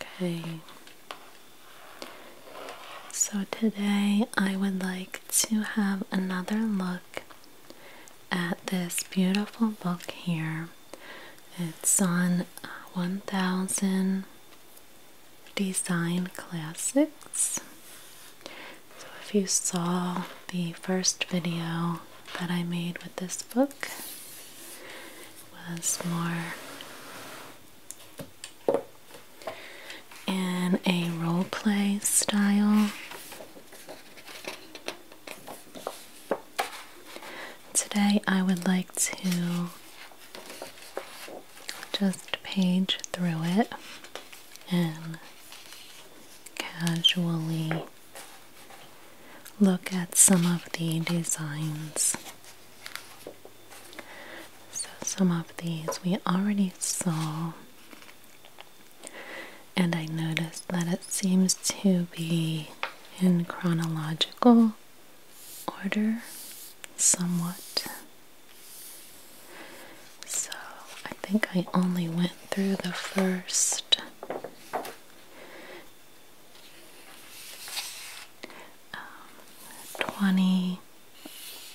Okay. So today I would like to have another look at this beautiful book here. It's on 1000 Design Classics. So if you saw the first video that I made with this book, was more in a role play style. Today, I would like to just page through it and casually look at some of the designs. So, some of these we already saw, and I noticed that it seems to be in chronological order somewhat. So, I think I only went through the first 20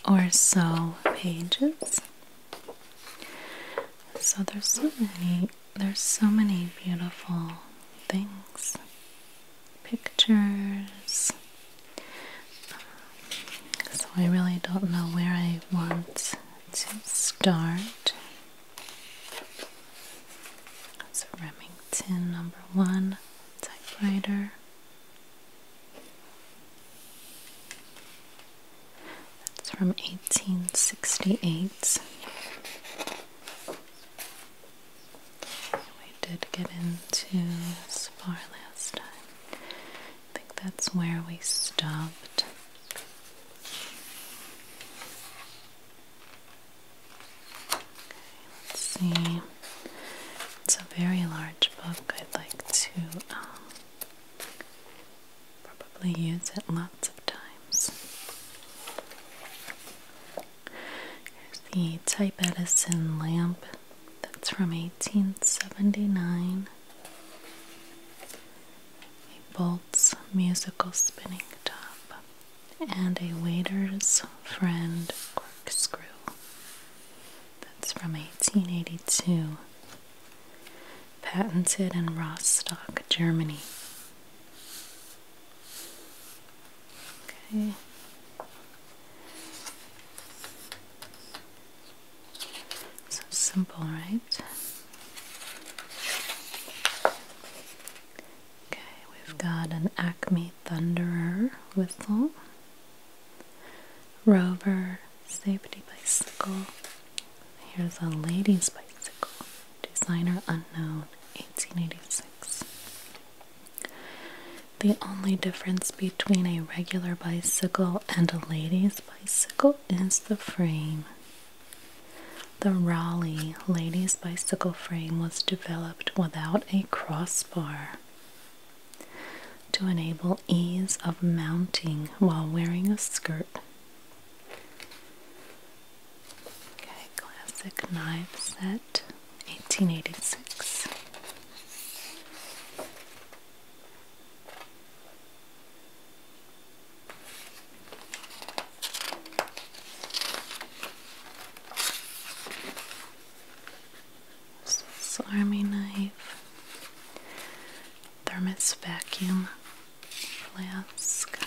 or so pages. So there's so many there's so many beautiful things. Pictures. so I really don't know where I want to start. That's Remington number one typewriter. That's from 1868. We did get into this last time. I think that's where we stopped let's see. It's a very large book. I'd like to um, probably use it lots of times. Here's the Type Edison lamp. That's from 1879. A Bolt's musical spinning top and a waiter's friend corkscrew. That's from 1882, patented in Rostock, Germany. Okay. So simple, right? Okay, we've got an Acme Thunderer whistle, Rover safety bicycle. Here's a lady's bicycle, designer unknown, 1886. The only difference between a regular bicycle and a lady's bicycle is the frame. The Raleigh ladies' bicycle frame was developed without a crossbar to enable ease of mounting while wearing a skirt. Okay, classic knife set, 1886. Swiss knife, thermos vacuum flask.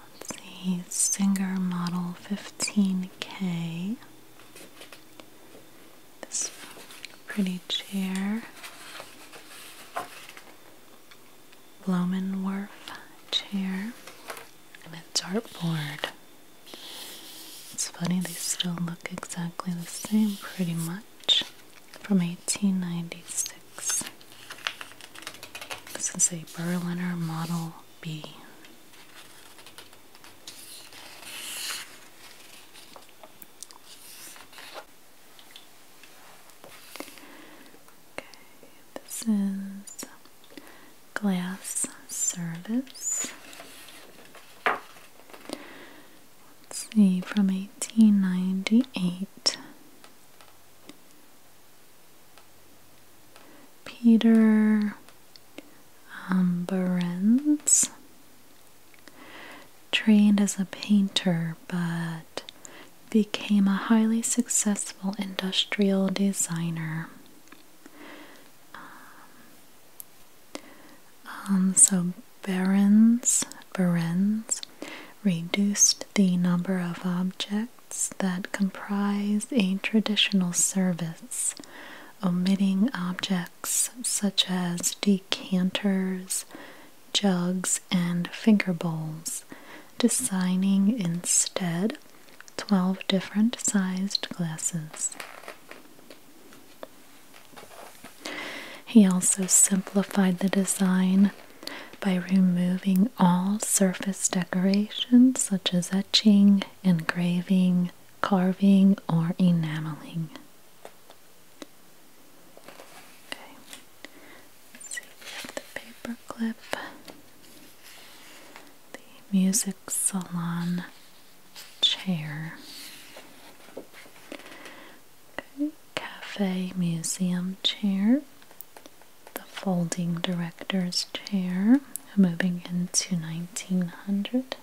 Let's see, Singer Model 15K. This pretty chair. Blomenwerf chair and a dartboard. It's funny, they still look exactly the same, pretty much, from 1896. This is a Berliner Model B. Okay, this is glass service. Let's see, from 1898. Peter um, Trained as a painter, but became a highly successful industrial designer. Um, um, so Berens, Berens reduced the number of objects that comprise a traditional service, omitting objects such as decanters, jugs, and finger bowls, designing instead 12 different sized glasses. He also simplified the design by removing all surface decorations such as etching, engraving, carving, or enameling. Okay. see the paper the music salon chair. Okay. Cafe museum chair, the folding director's chair, moving into 1900.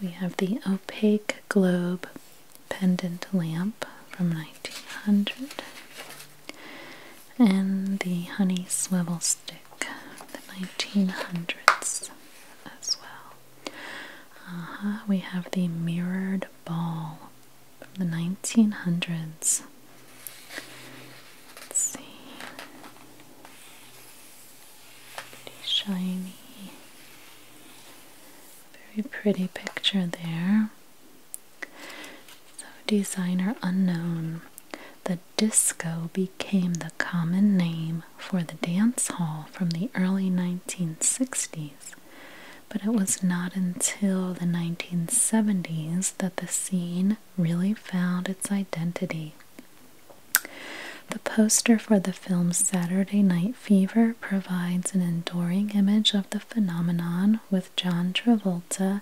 We have the opaque globe pendant lamp from 1900 and the honey swivel stick from the 1900s as well. Uh -huh. We have the mirrored ball from the 1900s. Let's see. Pretty shiny. Very pretty picture there. So, designer unknown. The disco became the common name for the dance hall from the early 1960s, but it was not until the 1970s that the scene really found its identity. The poster for the film Saturday Night Fever provides an enduring image of the phenomenon with John Travolta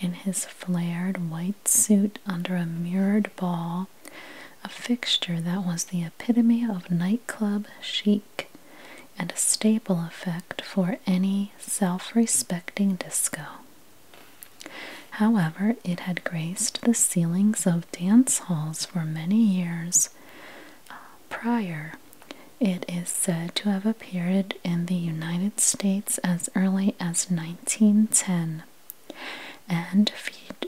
in his flared white suit under a mirrored ball, a fixture that was the epitome of nightclub chic and a staple effect for any self respecting disco. However, it had graced the ceilings of dance halls for many years uh, prior. It is said to have appeared in the United States as early as 1910 and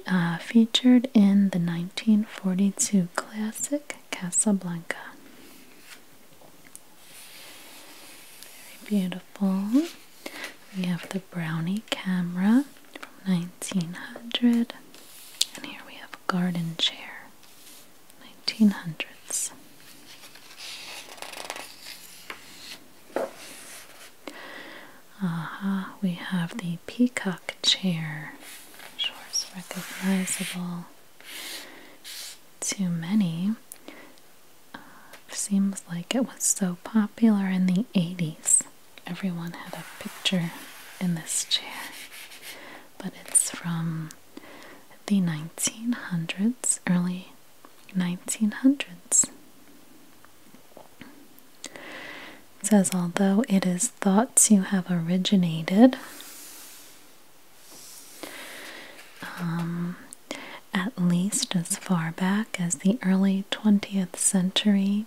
uh, featured in the 1942 classic Casablanca. Very beautiful. We have the brownie camera from 1900. And here we have a garden chair, 1900s. Aha, we have the peacock chair, Sure, it's recognizable Too many. Uh, seems like it was so popular in the 80s everyone had a picture in this chair, but it's from the 1900s, early 1900s. says, although it is thoughts you have originated, um, at least as far back as the early 20th century,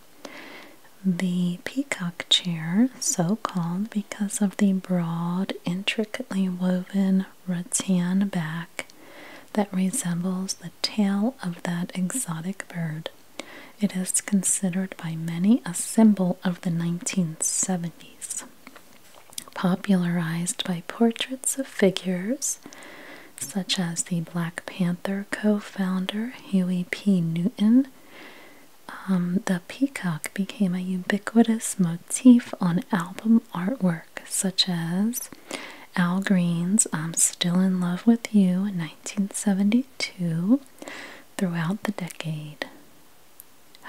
the peacock chair, so called because of the broad, intricately woven rattan back that resembles the tail of that exotic bird, it is considered by many a symbol of the 1970s. Popularized by portraits of figures such as the Black Panther co founder Huey P. Newton. Um, the peacock became a ubiquitous motif on album artwork, such as Al Green's I'm Still in Love with You, 1972, throughout the decade.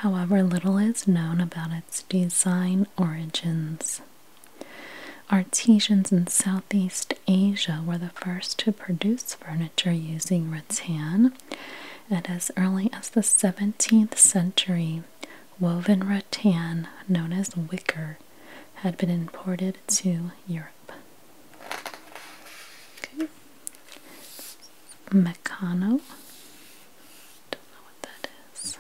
However, little is known about its design origins. Artisans in Southeast Asia were the first to produce furniture using rattan, and as early as the 17th century, woven rattan, known as wicker, had been imported to Europe. Meccano. Don't know what that is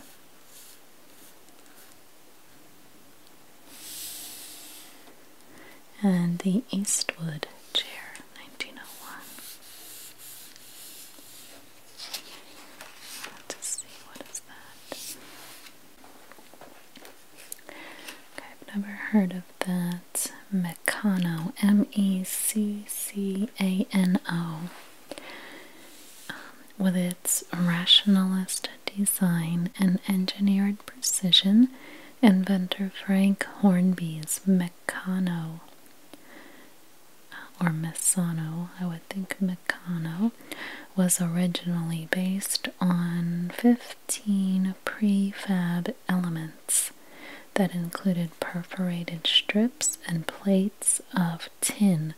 and the Eastwood chair 1901. Let's see what is that. Okay, I've never heard of that. Meccano, M-E-C-C-A-N-O. Um, with its rationalist design and engineered precision inventor Frank Hornby's Meccano uh, or Messano, I would think Meccano, was originally based on 15 prefab elements that included perforated strips and plates of tin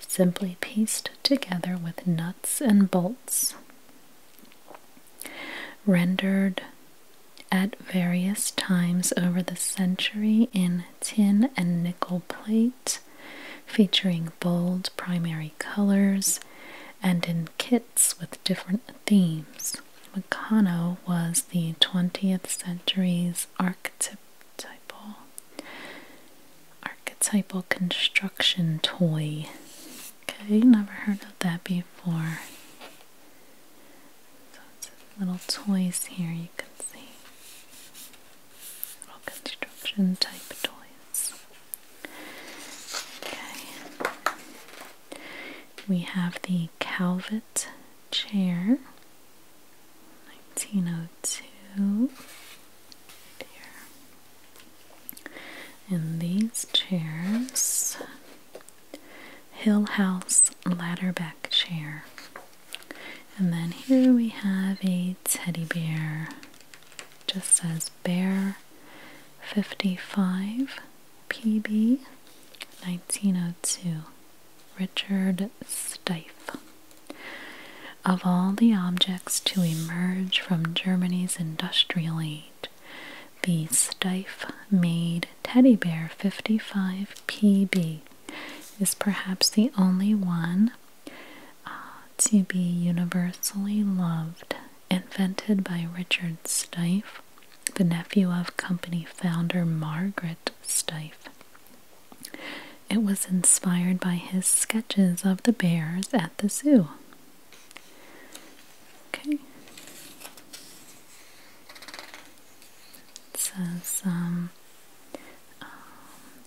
simply pieced together with nuts and bolts rendered at various times over the century in tin and nickel plate, featuring bold primary colors and in kits with different themes. Meccano was the 20th century's archetypal construction toy Okay, never heard of that before. So it's little toys here you can see. Little construction type toys. Okay. We have the Calvet chair. 1902. And these chairs Hill House ladder back chair. And then here we have a teddy bear. Just says Bear 55 PB 1902. Richard Steiff. Of all the objects to emerge from Germany's industrially the Stife Made Teddy Bear 55PB is perhaps the only one uh, to be universally loved, invented by Richard Stife, the nephew of company founder Margaret Stife. It was inspired by his sketches of the bears at the zoo. Okay. It says um, um,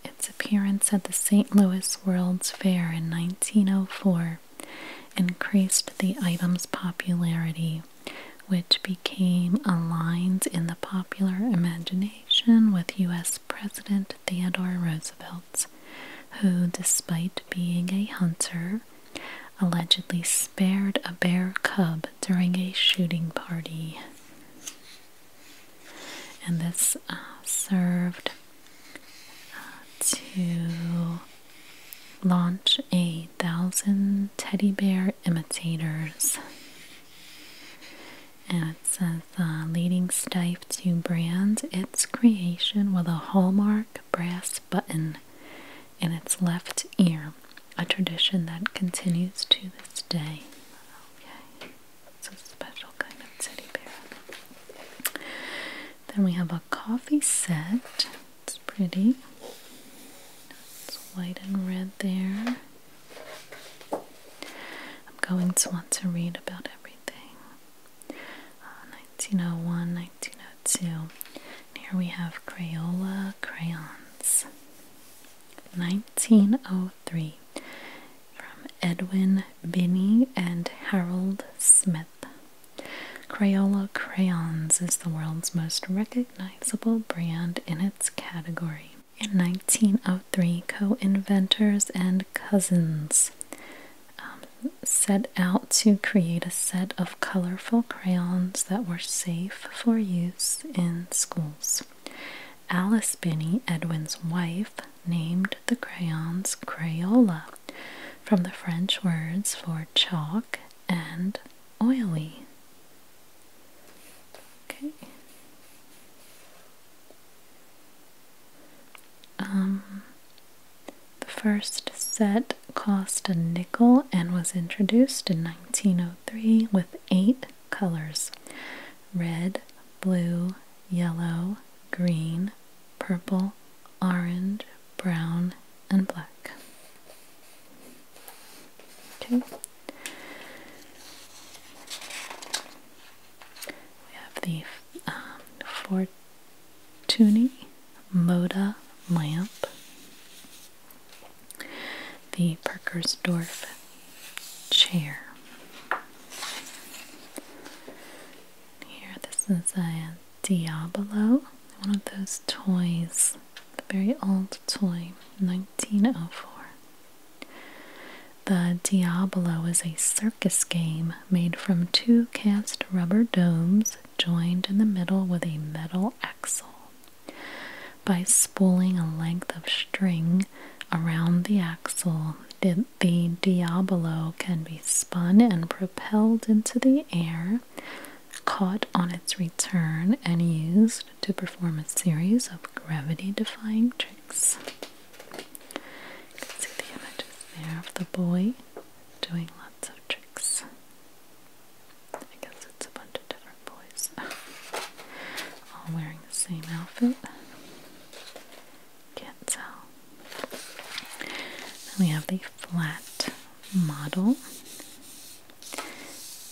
its appearance at the St. Louis World's Fair in 1904 increased the item's popularity, which became aligned in the popular imagination with U.S. President Theodore Roosevelt who, despite being a hunter, allegedly spared a bear cub during a shooting party. And this uh, served uh, to launch a thousand teddy bear imitators. And it says, uh, leading Stife to brand's its creation with a hallmark brass button in its left ear, a tradition that continues to this day. it's a special kind of teddy bear. Then we have a coffee set. It's pretty. It's white and red there. I'm going to want to read about everything. 1901, uh, 1902. here we have Crayola crayons. 1903 from Edwin Binney and Harold Smith. Crayola crayons is the world's most recognizable brand in its category. In 1903, co inventors and cousins um, set out to create a set of colorful crayons that were safe for use in schools. Alice Binney, Edwin's wife, named the crayons Crayola from the French words for chalk and oily. Okay. Um, the first set cost a nickel and was introduced in 1903 with eight colors red, blue, yellow, green, purple, orange, brown, and black. Okay. We have the um, Tuny Moda lamp, the Perkersdorf chair. Here, this is a Diabolo, one of those toys, very old toy, 1904. The Diablo is a circus circus game made from two cast rubber domes joined in the middle with a metal axle. By spooling a length of string around the axle, the Diabolo can be spun and propelled into the air, caught on its return, and used to perform a series of gravity defying tricks. can see the images there of the boy doing lots of tricks. I guess it's a bunch of different boys all wearing the same outfit. Can't tell. we have the flat model,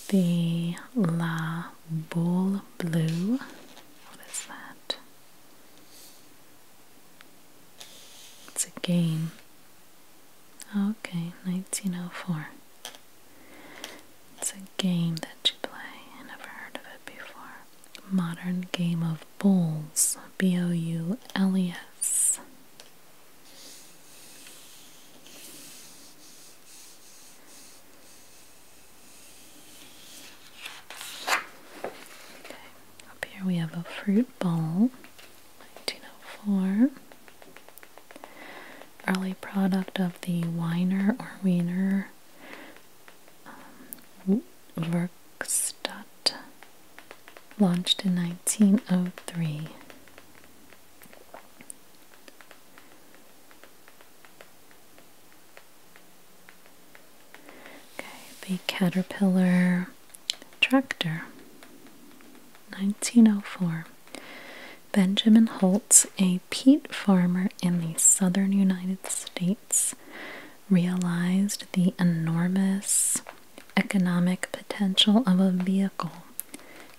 the La Boule Blue. What is that? It's a game. Okay, 1904. It's a game that you play. never heard of it before. Modern game of bowls. B O U L E S. Okay. Up here we have a fruit bowl, 1904. Early product of the Weiner or Wiener um, Werkstatt, launched in 1903. Okay, the Caterpillar tractor, 1904. Benjamin Holtz, a peat farmer in the southern United States, realized the enormous economic potential of a vehicle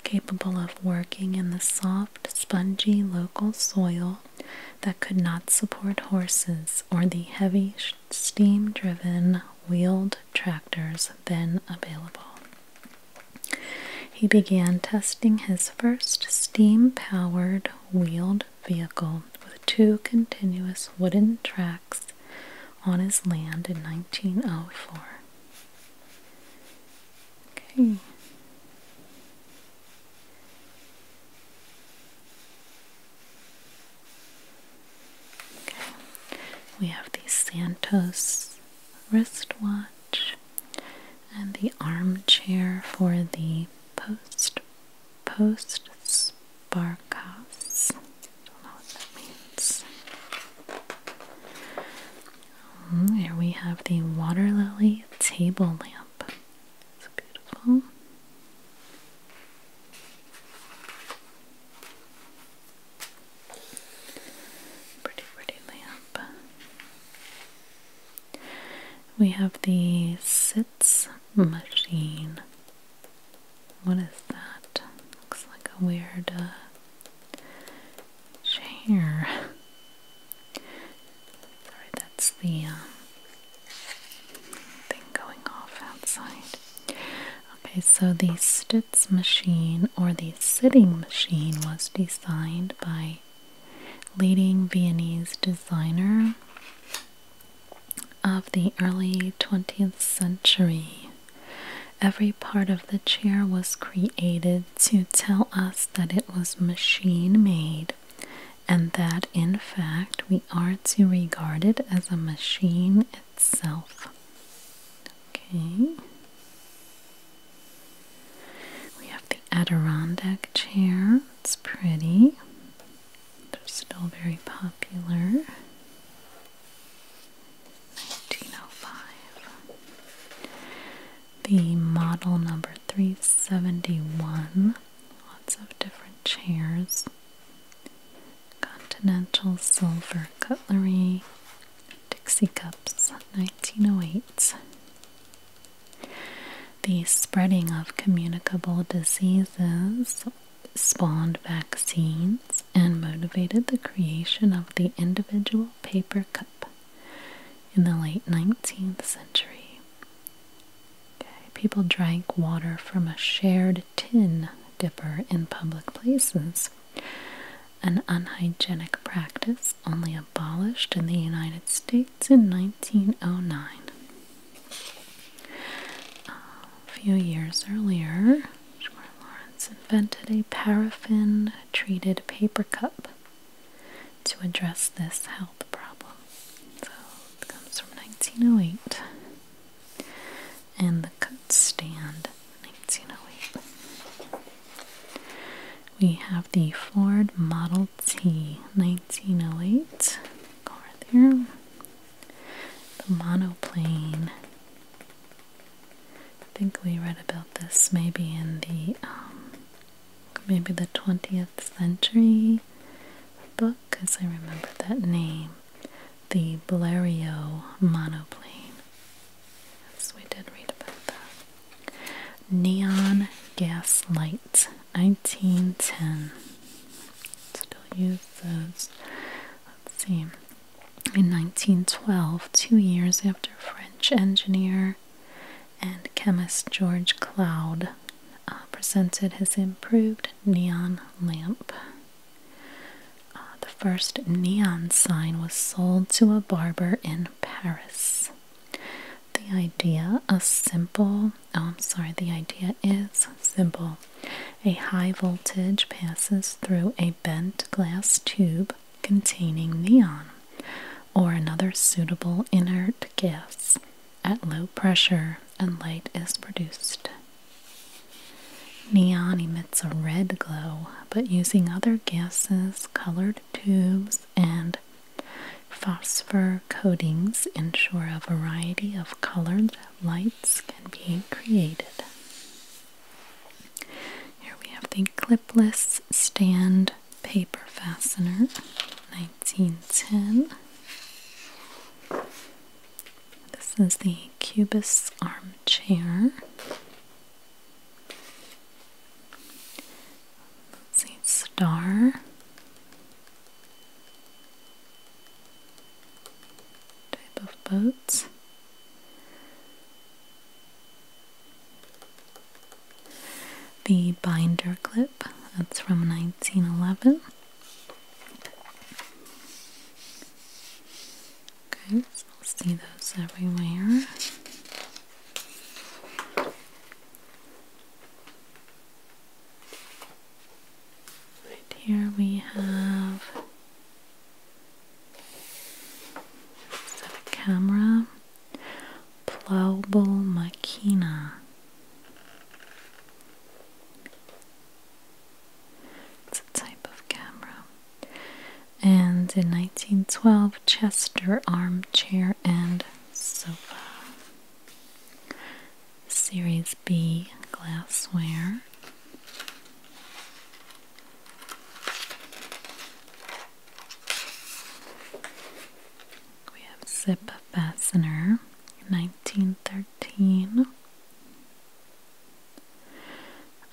capable of working in the soft, spongy local soil that could not support horses or the heavy steam driven wheeled tractors then available. He began testing his first steam powered wheeled vehicle with two continuous wooden tracks on his land in 1904. Okay. We have the Santos wristwatch and the armchair for the post post sparkas. Don't know what that means. Mm, here we have the water lily table lamp. It's beautiful. Pretty, pretty lamp. We have the sits machine. What is that? Looks like a weird uh, chair. Sorry, that's the um, thing going off outside. Okay, so the Stitz machine or the sitting machine was designed by leading Viennese designer of the early 20th century. Every part of the chair was created to tell us that it was machine made and that in fact we are to regard it as a machine itself. Okay. We have the Adirondack chair. It's pretty. They're still very popular. 1905. The model number 371. Lots of different chairs. Continental silver cutlery, Dixie cups, 1908. The spreading of communicable diseases spawned vaccines and motivated the creation of the individual paper cup in the late 19th century. People drank water from a shared tin dipper in public places, an unhygienic practice only abolished in the United States in 1909. a few years earlier, Lawrence invented a paraffin treated paper cup to address this health problem. So it comes from 1908 and the cut stand 1908. We have the Ford Model T 1908 car there. The monoplane. I think we read about this maybe in the um, maybe the 20th century book because I remember that name the Blériot monoplane. Yes, we did read about that. Neon gas lights, 1910. Still use those. Let's see. In 1912, two years after French engineer and chemist George Cloud uh, presented his improved neon lamp. Uh, the first neon sign was sold to a barber in Paris. The idea, a simple, oh, I'm sorry, the idea is simple. A high voltage passes through a bent glass tube containing neon or another suitable inert gas at low pressure, and light is produced. Neon emits a red glow, but using other gases, colored tubes, and phosphor coatings ensure a variety of colored lights can be created. Here we have the clipless stand paper fastener, 1910. This is the Cubist armchair. see, star. Type of boats. The binder clip, that's from 1911. Okay, see those everywhere. Right here we have a camera plowable machina. It's a type of camera. And in 1912, Chester Armchair and Sofa. Series B glassware. We have Zip Fastener, 1913.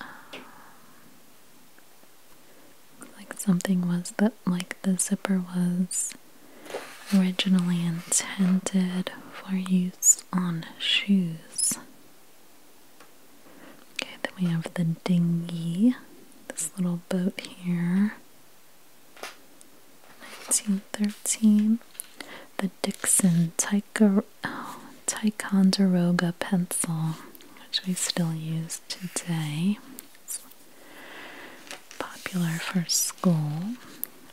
Um, like something was that like the zipper was originally intended for use on shoes. Okay, then we have the dinghy, this little boat here. 1913, the Dixon Tyke Oh, Ticonderoga pencil, which we still use today. popular for school.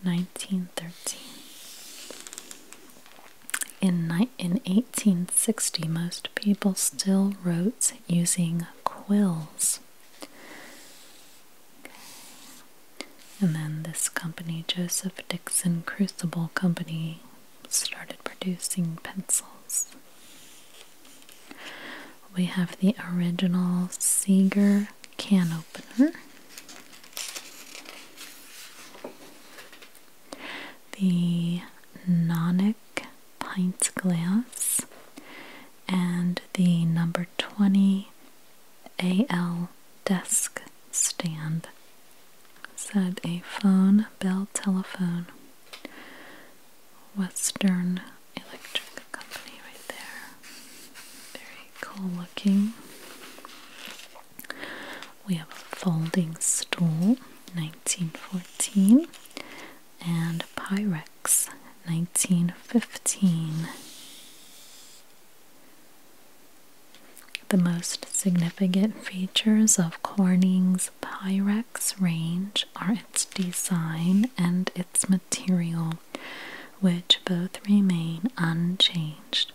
1913. In, ni in 1860, most people still wrote using quills. And then this company, Joseph Dixon Crucible Company, started producing pencils. We have the original Seeger can opener. The Nonic pint glass and the number 20 AL desk stand. Said a phone, Bell Telephone, Western Electric Company, right there. Very cool looking. We have a folding stool, 1914, and Pyrex, 1915. The most significant features of Corning's Pyrex range are its design and its material, which both remain unchanged.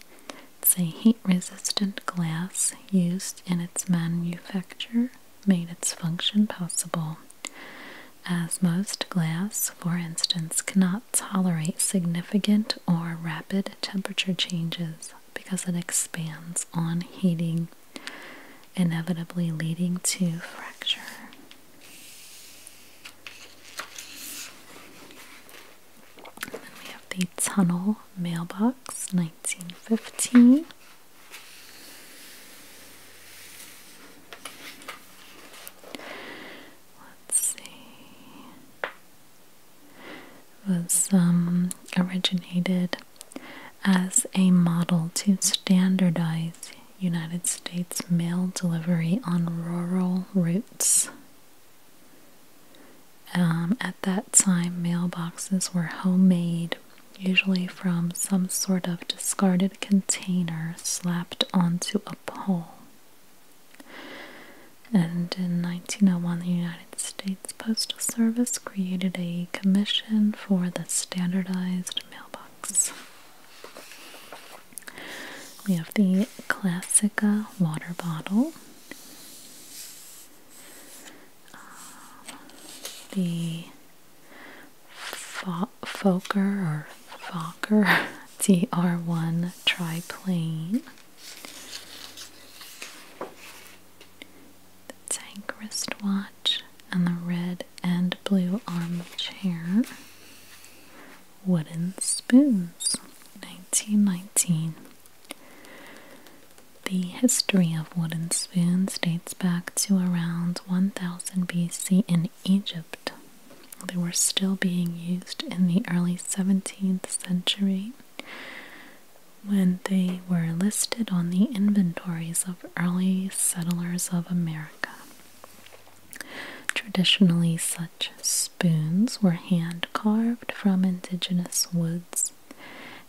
It's heat resistant glass used in its manufacture, made its function possible. As most glass, for instance, cannot tolerate significant or rapid temperature changes because it expands on heating, inevitably leading to fracture. we have the tunnel mailbox 1915. Let's see was um, originated as a model to standardize United States mail delivery on rural routes. Um, at that time, mailboxes were homemade, usually from some sort of discarded container slapped onto a pole. And in 1901, the United States Postal Service created a commission for the standardized mailbox. We have the Classica water bottle, uh, the Fokker or Fokker TR1 triplane the tank wristwatch and the red and blue armchair. Wooden spoons, 1919. The history of wooden spoons dates back to around 1000 BC in Egypt. They were still being used in the early 17th century when they were listed on the inventories of early settlers of America. Traditionally, such spoons were hand carved from indigenous woods,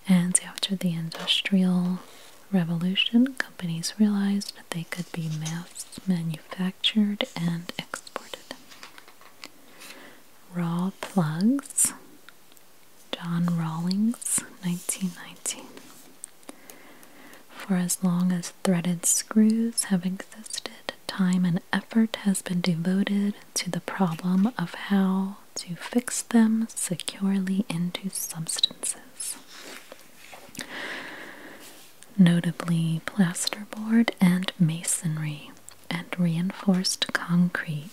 and after the Industrial Revolution, companies realized that they could be mass manufactured manufactured and exported. Raw plugs, John Rawlings, 1919. For as long as threaded screws have existed, time and effort has been devoted to the problem of how to fix them securely into substances notably plasterboard and masonry, and reinforced concrete.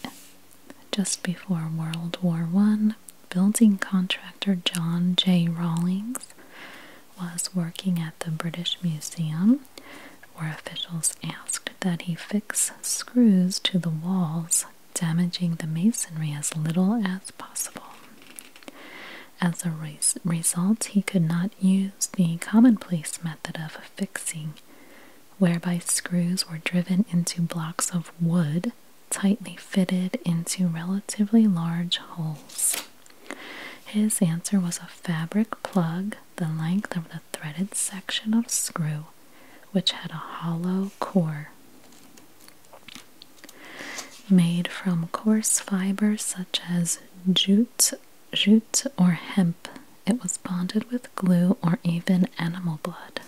Just before World War One, building contractor John J. Rawlings was working at the British Museum, where officials asked that he fix screws to the walls, damaging the masonry as little as possible. As a result, he could not use the commonplace method of fixing, whereby screws were driven into blocks of wood tightly fitted into relatively large holes. His answer was a fabric plug the length of the threaded section of screw, which had a hollow core. Made from coarse fiber such as jute Jute or hemp. It was bonded with glue or even animal blood.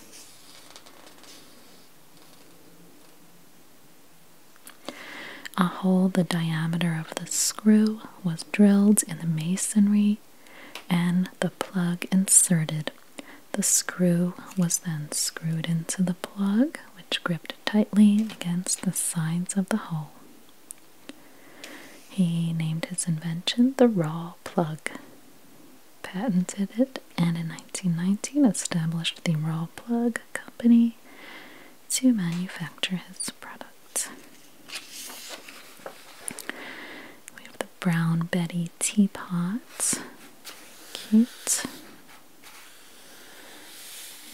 A hole the diameter of the screw was drilled in the masonry and the plug inserted. The screw was then screwed into the plug, which gripped tightly against the sides of the hole. He named his invention the Raw Plug, patented it, and in 1919 established the Raw Plug Company to manufacture his products. We have the Brown Betty teapot, cute,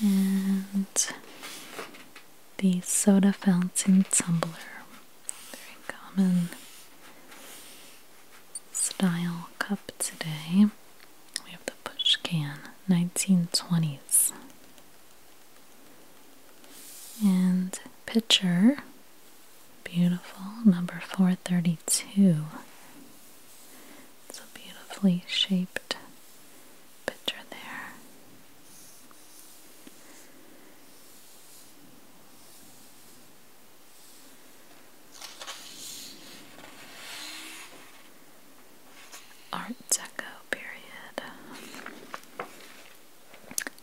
and the soda fountain tumbler. Very common style cup today. We have the push can, 1920s. And pitcher, beautiful, number 432. It's a beautifully shaped picture there. Art Deco period.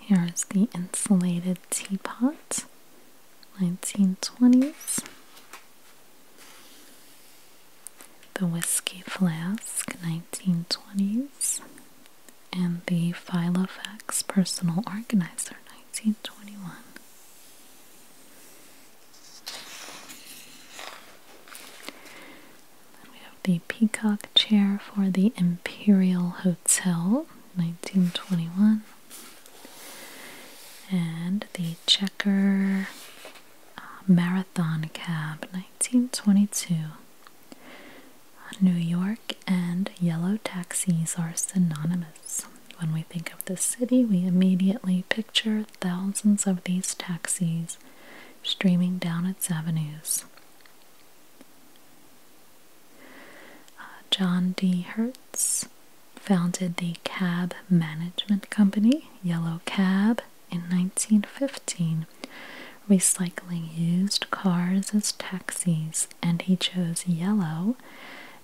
Here is the insulated teapot, 1920s the Whiskey Flask 1920s, and the Filofax Personal Organizer 1921. Then we have the Peacock Chair for the Imperial Hotel 1921. And the Checker uh, Marathon Cab 1922. New York and yellow taxis are synonymous. When we think of the city, we immediately picture thousands of these taxis streaming down its avenues. Uh, John D. Hertz founded the Cab Management Company, Yellow Cab, in 1915, recycling used cars as taxis, and he chose yellow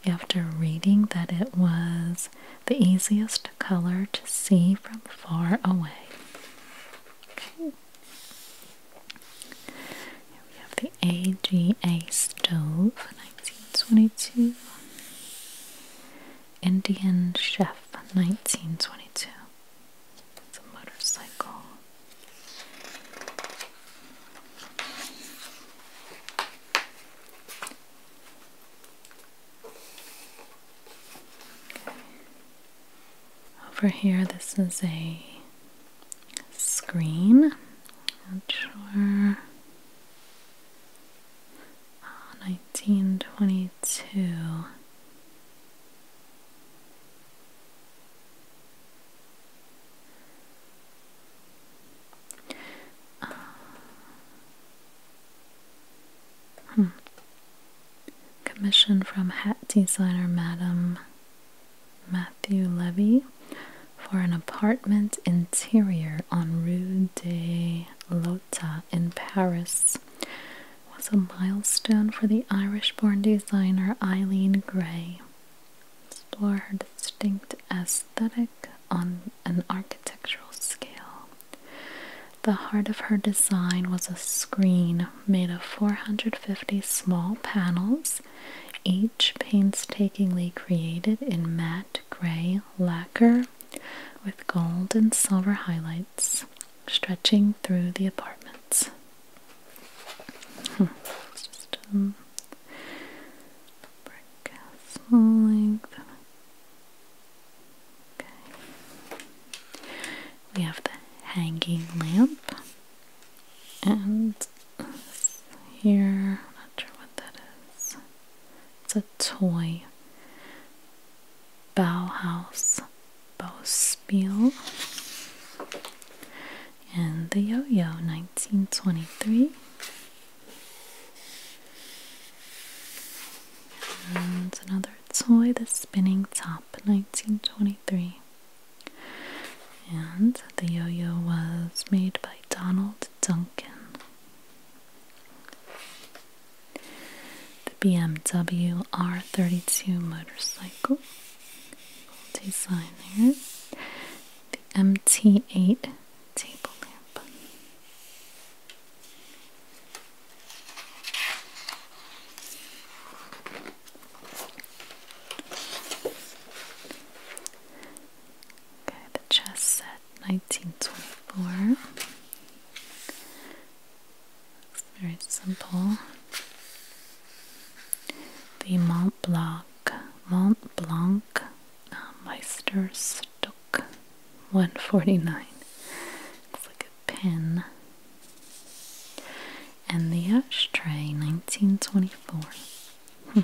after reading that it was the easiest color to see from far away. Okay. Here we have the AGA stove, 1922. Indian Chef, 1922. It's a motorcycle. Over here, this is a screen. Not sure. 1922. Ah, um, commission from hat designer Madam Matthew Levy for an apartment interior on Rue de Lota in Paris was a milestone for the Irish born designer Eileen Gray. Explore her distinct aesthetic on an architectural scale. The heart of her design was a screen made of 450 small panels, each painstakingly created in matte gray lacquer with gold and silver highlights stretching through the apartments. Hmm. just um, brick castle length. Okay. We have the hanging lamp, and here, I'm not sure what that is. It's a toy Bauhaus Bauspiel and the Yo-Yo 1923 and another toy the spinning top 1923 and the yo-yo was made by Donald Duncan the BMW R32 motorcycle, multi there. The MT8 table lamp. Okay, the chess set 1924. It's very simple. The Mont Blanc, Mont Blanc uh, Meisterstück 149. Looks like a pen. And the ashtray, 1924. Hmm.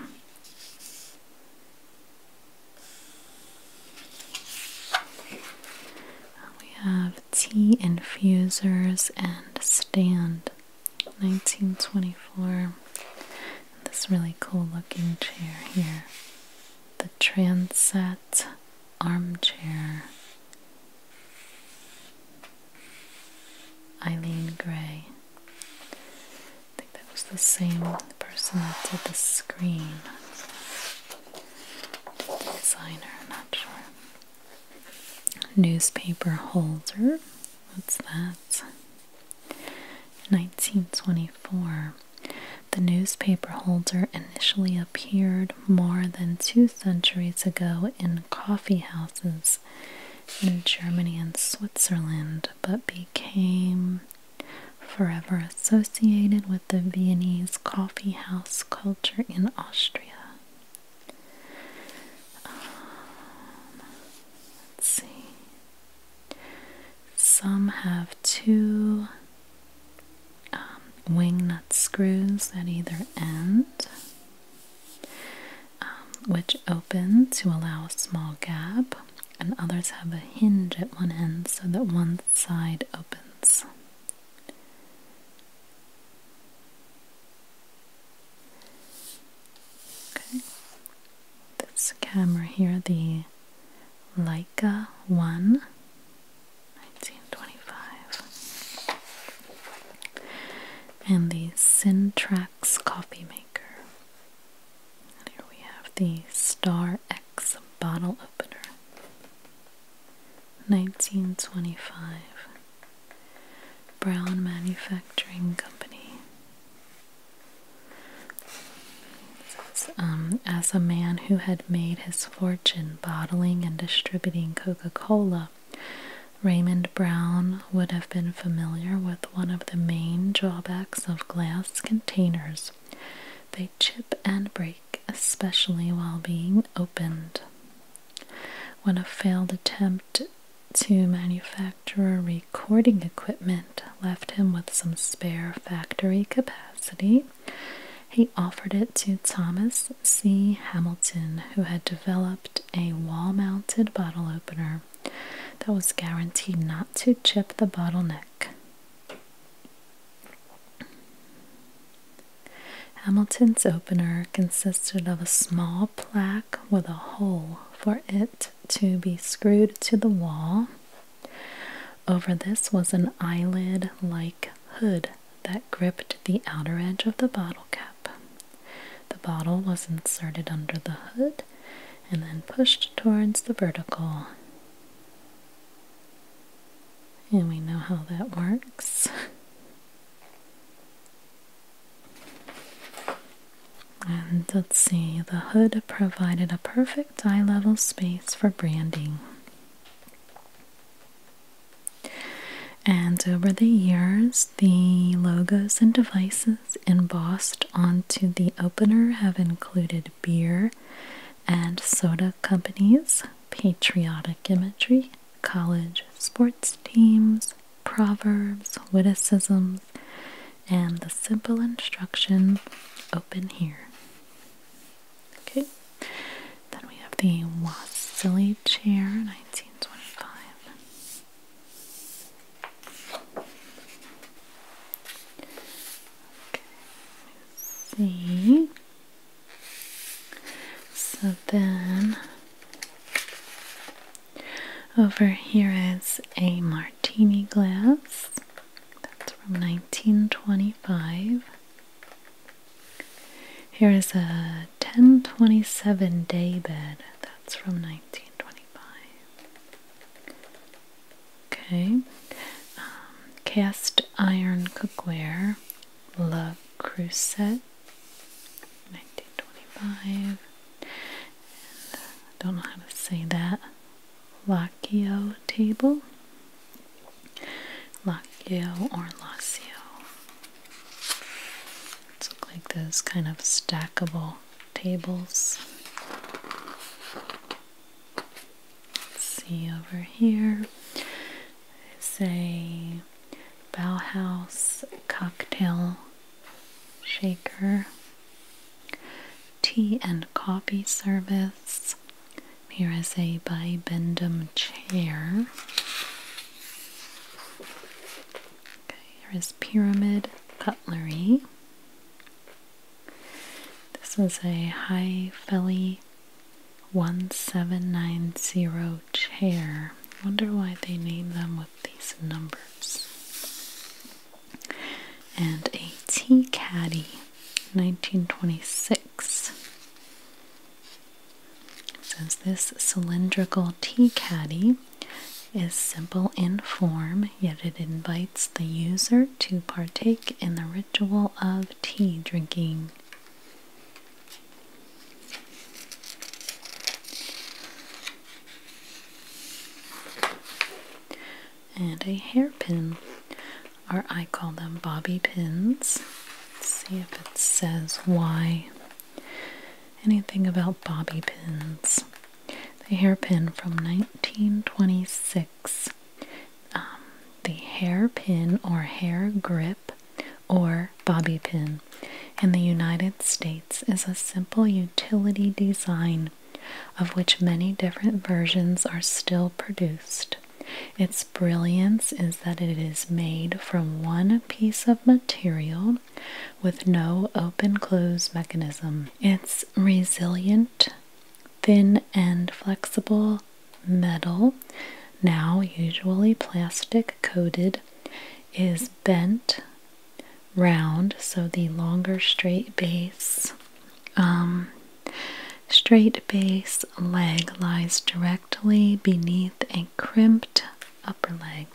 We have tea infusers and stand. 1924. This really cool looking chair here. The Transat Armchair. Eileen Gray. I think that was the same person that did the screen. Designer, not sure. Newspaper holder. What's that? 1924. The newspaper holder initially appeared more than two centuries ago in coffee houses in Germany and Switzerland, but became forever associated with the Viennese coffee house culture in Austria. Um, let's see. Some have two um, wing nut screws at either end, um, which open to allow a small gap, and others have a hinge at one end so that one side opens. Okay. This camera here, the Leica 1 1925, and the Syntrax coffee maker. here we have the Star X bottle opener. 1925 Brown Manufacturing Company. Um, as a man who had made his fortune bottling and distributing Coca Cola, Raymond Brown would have been familiar with one of the main drawbacks of glass containers they chip and break, especially while being opened. When a failed attempt to manufacture a recording equipment left him with some spare factory capacity, he offered it to Thomas C. Hamilton, who had developed a wall mounted bottle opener that was guaranteed not to chip the bottleneck. Hamilton's opener consisted of a small plaque with a hole for it to be screwed to the wall. Over this was an eyelid like hood that gripped the outer edge of the bottle cap. The bottle was inserted under the hood and then pushed towards the vertical. And we know how that works. And let's see, the hood provided a perfect eye level space for branding. And over the years, the logos and devices embossed onto the opener have included beer and soda companies, patriotic imagery, college sports teams, proverbs, witticisms, and the simple instruction open here. Okay, then we have the Wassily chair, 1925. Okay, see. So then over here is a martini glass. That's from 1925. Here is a 1027 day bed. That's from 1925. Okay. Um, cast iron cookware. La Crusette, 1925. I don't know how to say that. Lacchio table. Lacchio or Lacio. It's like those kind of stackable tables. see over here is a Bauhaus cocktail shaker, tea and coffee service. Here is a bibendum chair. Okay, here is pyramid cutlery. This is a high felly 1790 chair. Wonder why they name them with these numbers. And a tea caddy, 1926. It says this cylindrical tea caddy is simple in form, yet it invites the user to partake in the ritual of tea drinking. And a hairpin, or I call them bobby pins. Let's see if it says why. Anything about bobby pins. The hairpin from 1926. Um, the hairpin or hair grip or bobby pin in the United States is a simple utility design of which many different versions are still produced. Its brilliance is that it is made from one piece of material with no open close mechanism. It's resilient, thin and flexible, metal, now usually plastic coated, is bent round, so the longer straight base. Um, straight base leg lies directly beneath a crimped upper leg.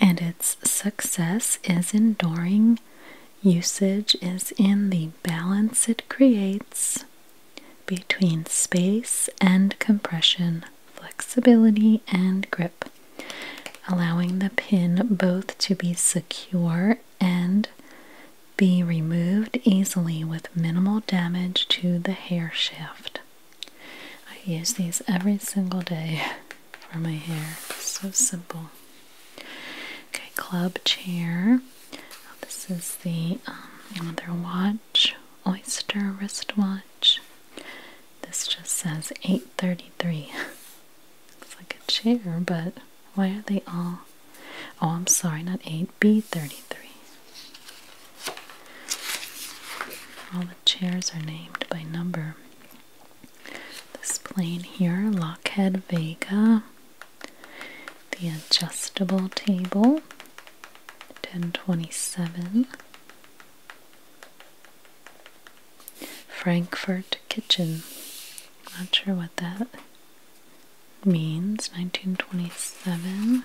And its success is enduring. Usage is in the balance it creates between space and compression, flexibility and grip, allowing the pin both to be secure and be removed easily with minimal damage to the hair shaft. I use these every single day for my hair. so simple. Okay, club chair this is the um, other watch, Oyster wristwatch. This just says 833. Looks like a chair, but why are they all? Oh, I'm sorry, not 8B33. All the chairs are named by number. This plane here, Lockheed Vega, the adjustable table, 1027. Frankfurt kitchen, not sure what that means, 1927.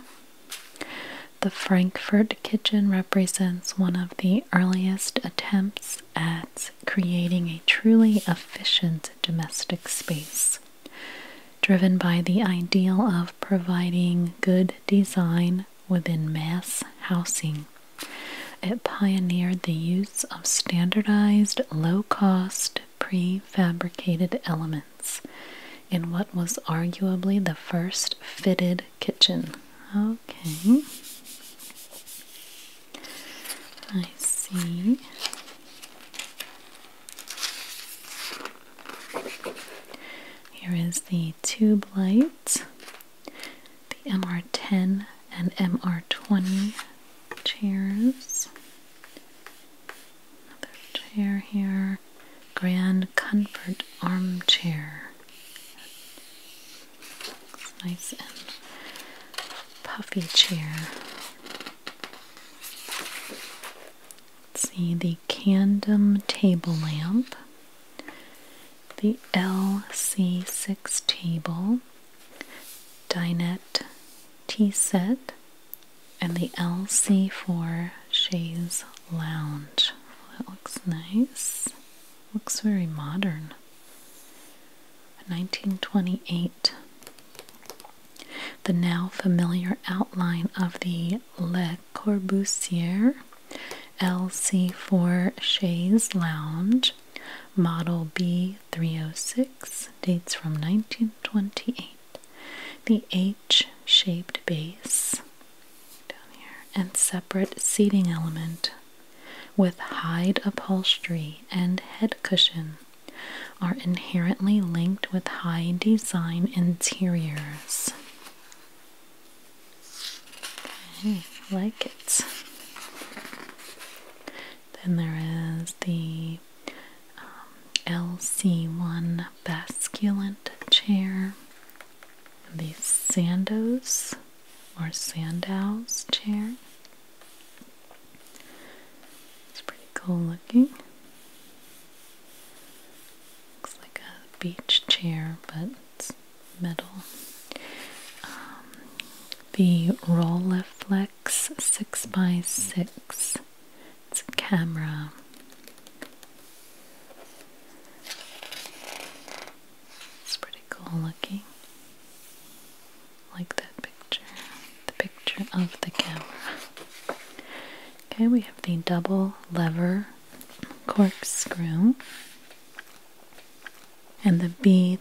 The Frankfurt kitchen represents one of the earliest attempts at creating a truly efficient domestic space driven by the ideal of providing good design within mass housing. It pioneered the use of standardized, low cost, prefabricated elements in what was arguably the first fitted kitchen. Okay. I see. Here is the tube light, the MR10 and MR20 chairs. Another chair here, Grand Comfort Armchair. nice and puffy chair. Let's see the Candem table lamp, the LC6 table, dinette tea set, and the LC4 chaise lounge. That looks nice. Looks very modern. 1928. The now familiar outline of the Le Corbusier LC4 Chaise Lounge, Model B306, dates from 1928. The H shaped base and separate seating element with hide upholstery and head cushion are inherently linked with high design interiors. I like it. Then there is the um, LC1 Basculant chair, the Sandows or Sandows chair, it's pretty cool looking. Looks like a beach chair, but it's metal. Um, the Rolleiflex 6x6. It's a camera. It's pretty cool looking. Like that picture the picture of the camera. Okay, we have the double lever corkscrew and the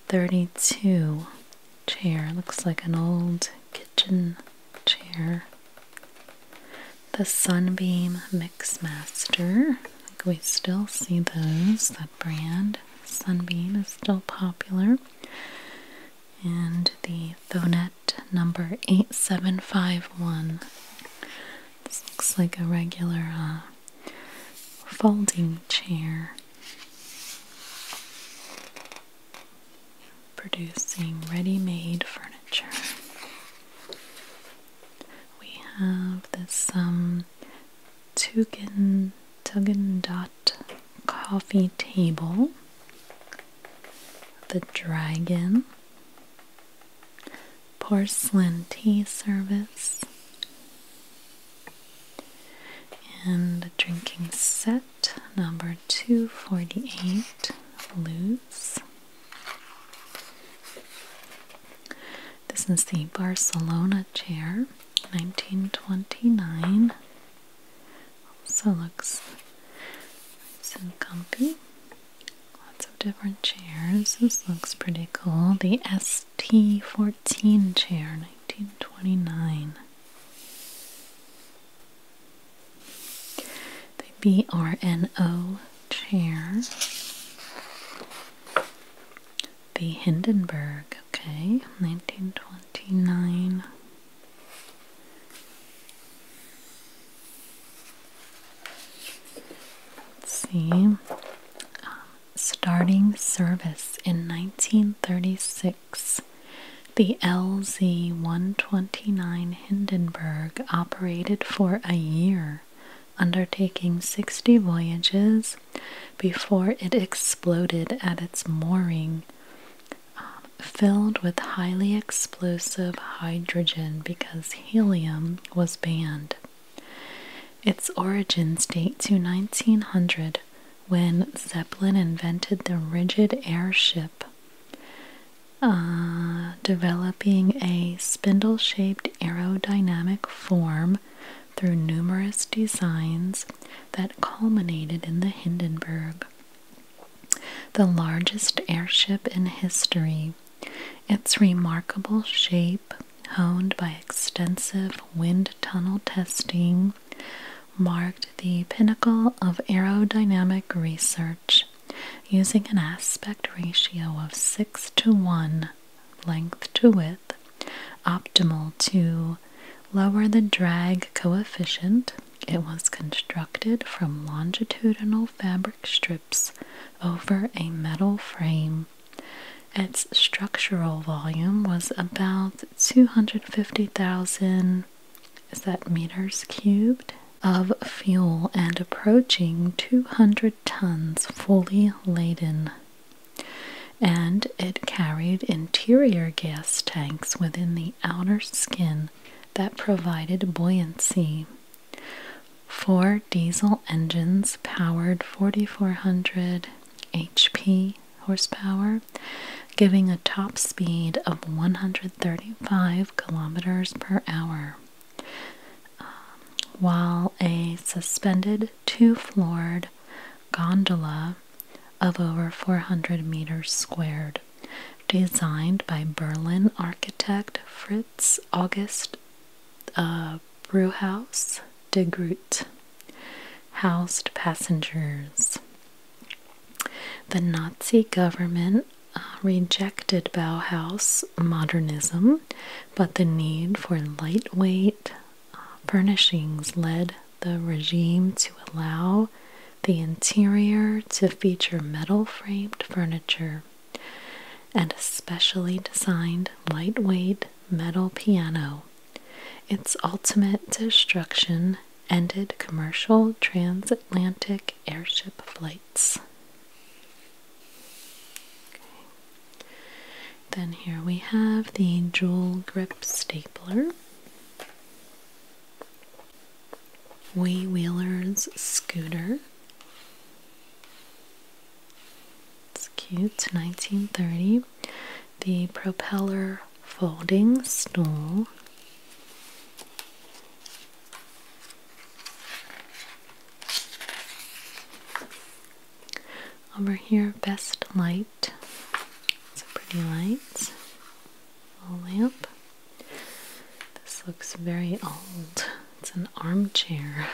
B32 chair. Looks like an old kitchen chair. The Sunbeam Mixmaster. I think we still see those, that brand. Sunbeam is still popular and the Thonet number 8751. This looks like a regular uh, folding chair producing ready-made furniture. We have this um, Tugan Tugendhat coffee table the Dragon, Porcelain Tea Service, and a drinking set number 248, Luz. This is the Barcelona chair, 1929. Also looks nice and comfy. Lots of different chairs. This looks pretty cool. The ST14 chair, 1929. The BRNO chair. The Hindenburg, okay, 1929. Let's see. Um, starting service in 1936, the LZ 129 Hindenburg operated for a year, undertaking 60 voyages before it exploded at its mooring filled with highly explosive hydrogen because helium was banned. Its origins date to 1900 when Zeppelin invented the rigid airship, uh, developing a spindle shaped aerodynamic form through numerous designs that culminated in the Hindenburg the largest airship in history. Its remarkable shape, honed by extensive wind tunnel testing, marked the pinnacle of aerodynamic research using an aspect ratio of 6 to 1 length to width, optimal to lower the drag coefficient it was constructed from longitudinal fabric strips over a metal frame. Its structural volume was about 250,000 is meters cubed of fuel and approaching 200 tons fully laden. And it carried interior gas tanks within the outer skin that provided buoyancy. Four diesel engines powered 4,400 HP horsepower, giving a top speed of 135 kilometers per hour. while a suspended two floored gondola of over 400 meters squared, designed by Berlin architect Fritz August uh, Brewhouse de Groot, housed passengers. The Nazi government uh, rejected Bauhaus modernism, but the need for lightweight uh, furnishings led the regime to allow the interior to feature metal framed furniture and a specially designed lightweight metal piano. Its ultimate destruction ended commercial transatlantic airship flights. Then here we have the jewel grip stapler. Wee Wheeler's scooter. It's cute, 1930. The propeller folding stool. Over here, best light. It's a pretty light. A lamp. This looks very old. It's an armchair.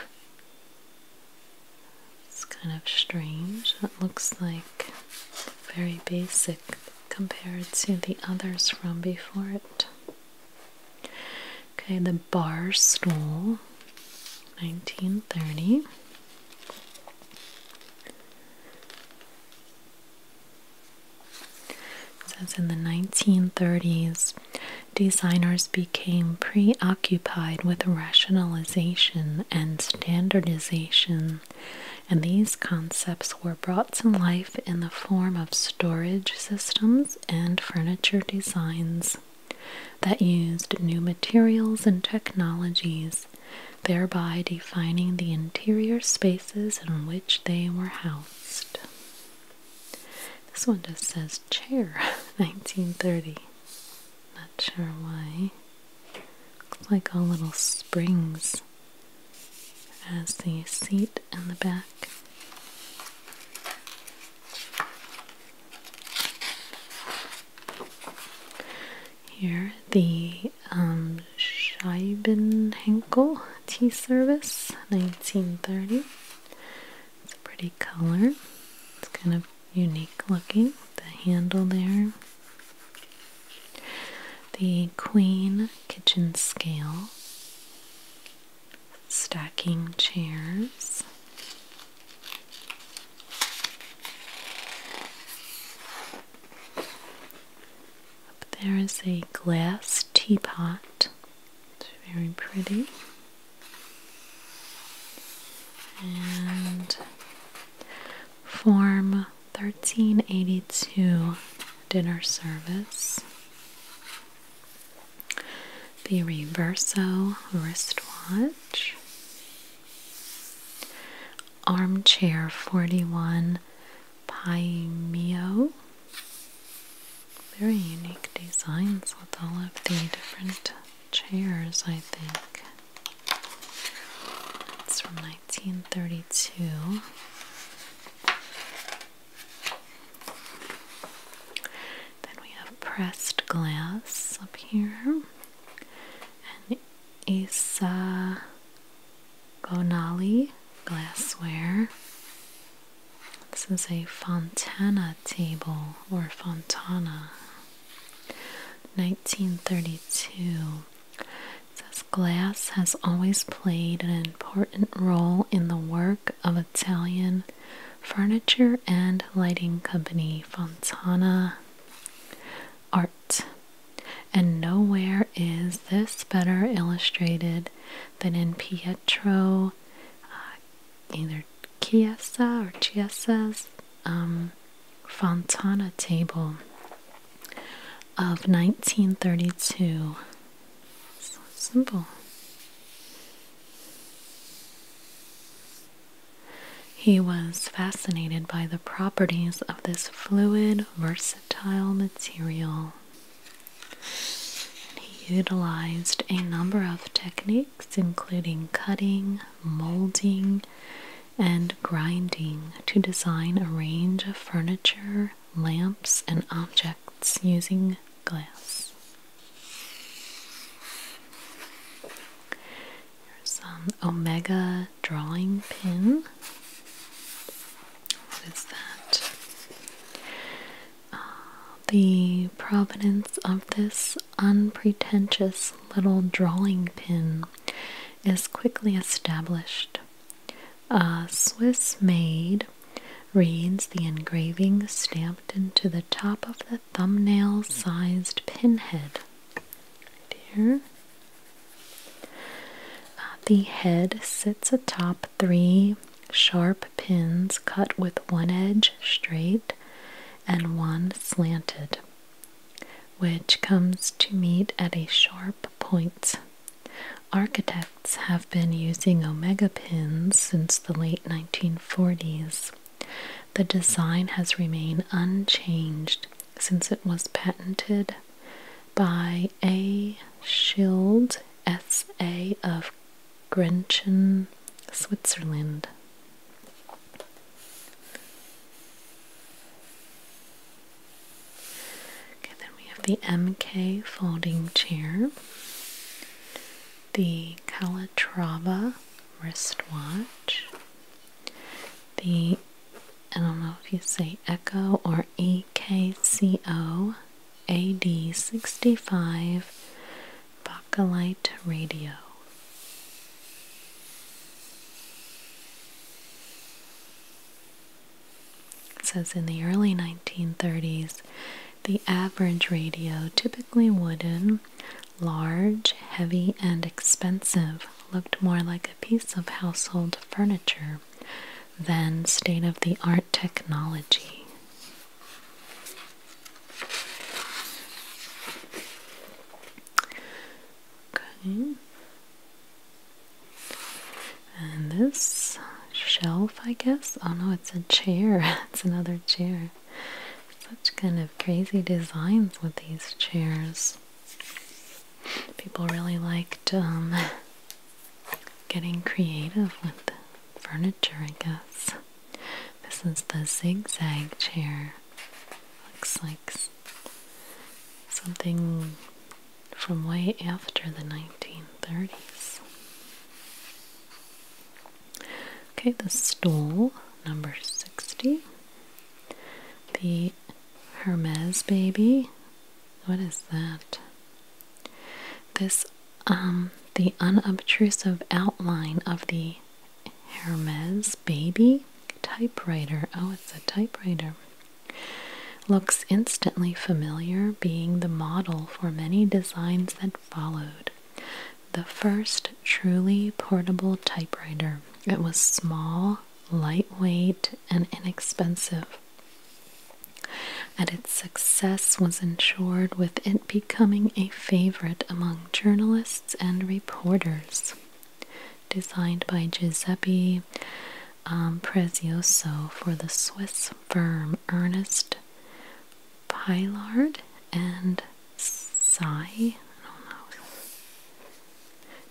It's kind of strange. It looks like very basic compared to the others from before it. Okay, the bar stool, 1930. It in the 1930s, designers became preoccupied with rationalization and standardization, and these concepts were brought to life in the form of storage systems and furniture designs that used new materials and technologies thereby defining the interior spaces in which they were housed. This one just says chair, 1930. Not sure why. Looks like all little springs as the seat in the back. Here, the um, Henkel tea service, 1930. It's a pretty color. It's kind of unique looking. The handle there. The Queen kitchen scale. Stacking chairs. Up there is a glass teapot. It's very pretty. And Form 1382 Dinner Service. The Reverso wristwatch. Armchair 41 Paimio. Very unique designs with all of the different chairs, I think. It's from 1932. Then we have pressed glass up here. And Isa Gonali glassware. This is a Fontana table or Fontana. 1932. It says glass has always played an important role in the work of Italian furniture and lighting company Fontana Art and nowhere is this better illustrated than in Pietro, uh, either Chiesa or Chiesa's um, Fontana table of 1932. simple. He was fascinated by the properties of this fluid, versatile versatile material. And he utilized a number of techniques, including cutting, molding, and grinding, to design a range of furniture, lamps, and objects using glass. some Omega drawing pin. What is that? Ah, the provenance of this unpretentious little drawing pin is quickly established. A Swiss maid reads the engraving stamped into the top of the thumbnail sized pinhead. Right here the head sits atop three sharp pins cut with one edge straight and one slanted, which comes to meet at a sharp point. Architects have been using omega pins since the late 1940s. The design has remained unchanged since it was patented by A. Schild, S.A. of Grenchen, Switzerland. Okay, then we have the MK folding chair, the Calatrava wristwatch, the I don't know if you say Echo or E K C O AD65 Bakelite Radio. says in the early 1930s, the average radio, typically wooden, large, heavy, and expensive, looked more like a piece of household furniture than state of the art technology. Okay. And this shelf, I guess. Oh no, it's a chair. it's another chair. Such kind of crazy designs with these chairs. People really liked um, getting creative with furniture, I guess. This is the zigzag chair. Looks like something from way after the 1930s. Okay, the stool, number 60. The Hermes baby, what is that? This, um, the unobtrusive outline of the Hermes baby typewriter. Oh, it's a typewriter. Looks instantly familiar, being the model for many designs that followed. The first truly portable typewriter. It was small, lightweight, and inexpensive. And its success was ensured with it becoming a favorite among journalists and reporters. Designed by Giuseppe um, Prezioso for the Swiss firm Ernest Pilard and Sai,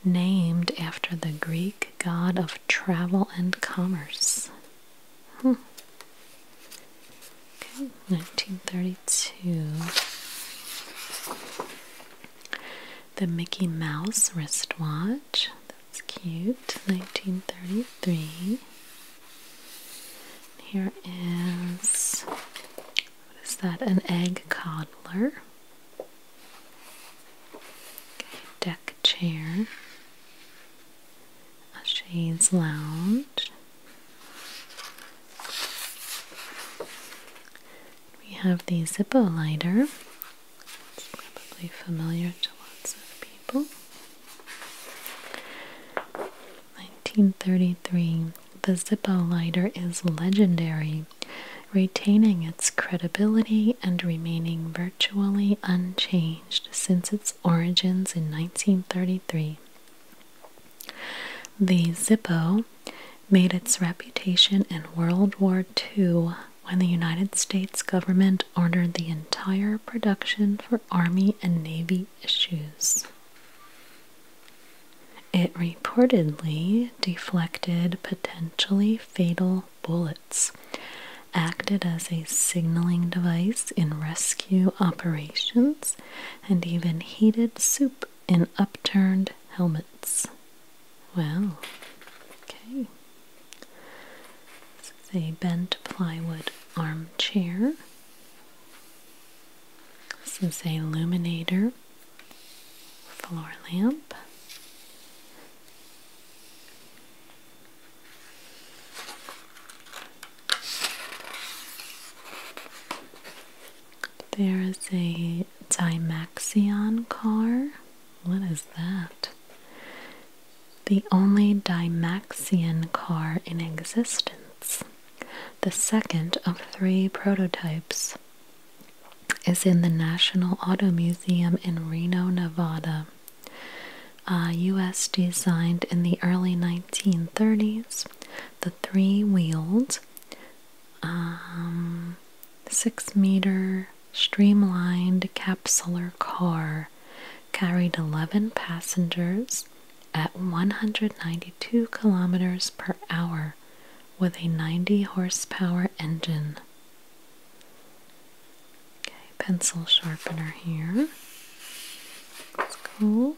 named after the Greek god of travel and commerce. Okay, 1932. The Mickey Mouse wristwatch. That's cute. 1933. Here is what is that? An egg coddler deck chair, a shades lounge. We have the Zippo lighter. It's probably familiar to lots of people. 1933. The Zippo lighter is legendary retaining its credibility and remaining virtually unchanged since its origins in 1933. The Zippo made its reputation in World War II when the United States government ordered the entire production for Army and Navy issues. It reportedly deflected potentially fatal bullets acted as a signaling device in rescue operations and even heated soup in upturned helmets. Well, Okay. This is a bent plywood armchair. This is a luminator floor lamp. There is a Dimaxion car. What is that? The only Dimaxion car in existence, the second of three prototypes, is in the National Auto Museum in Reno, Nevada. Uh, US designed in the early 1930s, the three wheeled, um, six meter streamlined capsular car carried 11 passengers at 192 kilometers per hour with a 90 horsepower engine. Okay, pencil sharpener here. That's cool.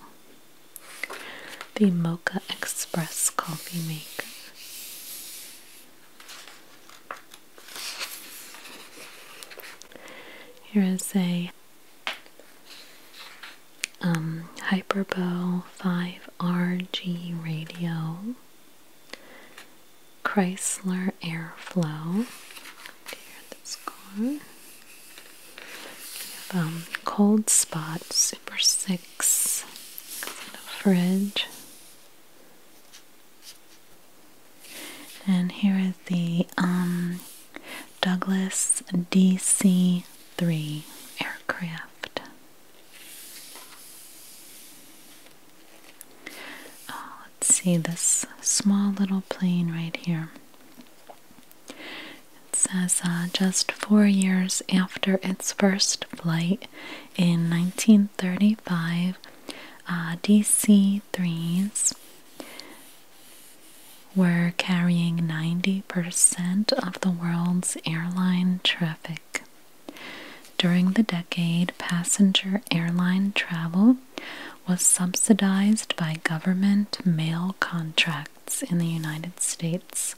The Mocha Express coffee maker. Here is a um, Hyperbo 5RG radio. Chrysler Airflow. Here that's um, Cold Spot Super 6. fridge. And here is the um, Douglas DC 3 aircraft. Uh, let's see this small little plane right here. It says uh, just four years after its first flight in 1935, uh, DC 3s were carrying 90% of the world's airline traffic. During the decade, passenger airline travel was subsidized by government mail contracts in the United States,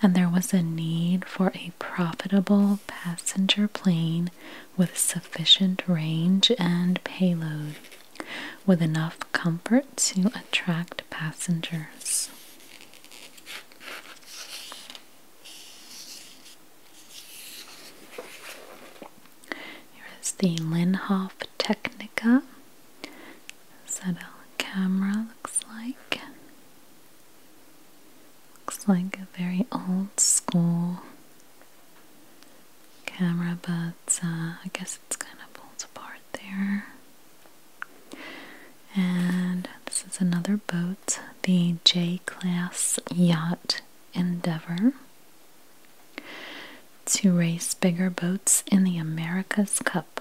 and there was a need for a profitable passenger plane with sufficient range and payload, with enough comfort to attract passengers. Here is the Linhof Technica. Is that a camera looks like? Looks like a very old school camera, but uh, I guess it's kind of pulled apart there. And this is another boat, the J Class Yacht endeavor to race bigger boats in the America's Cup.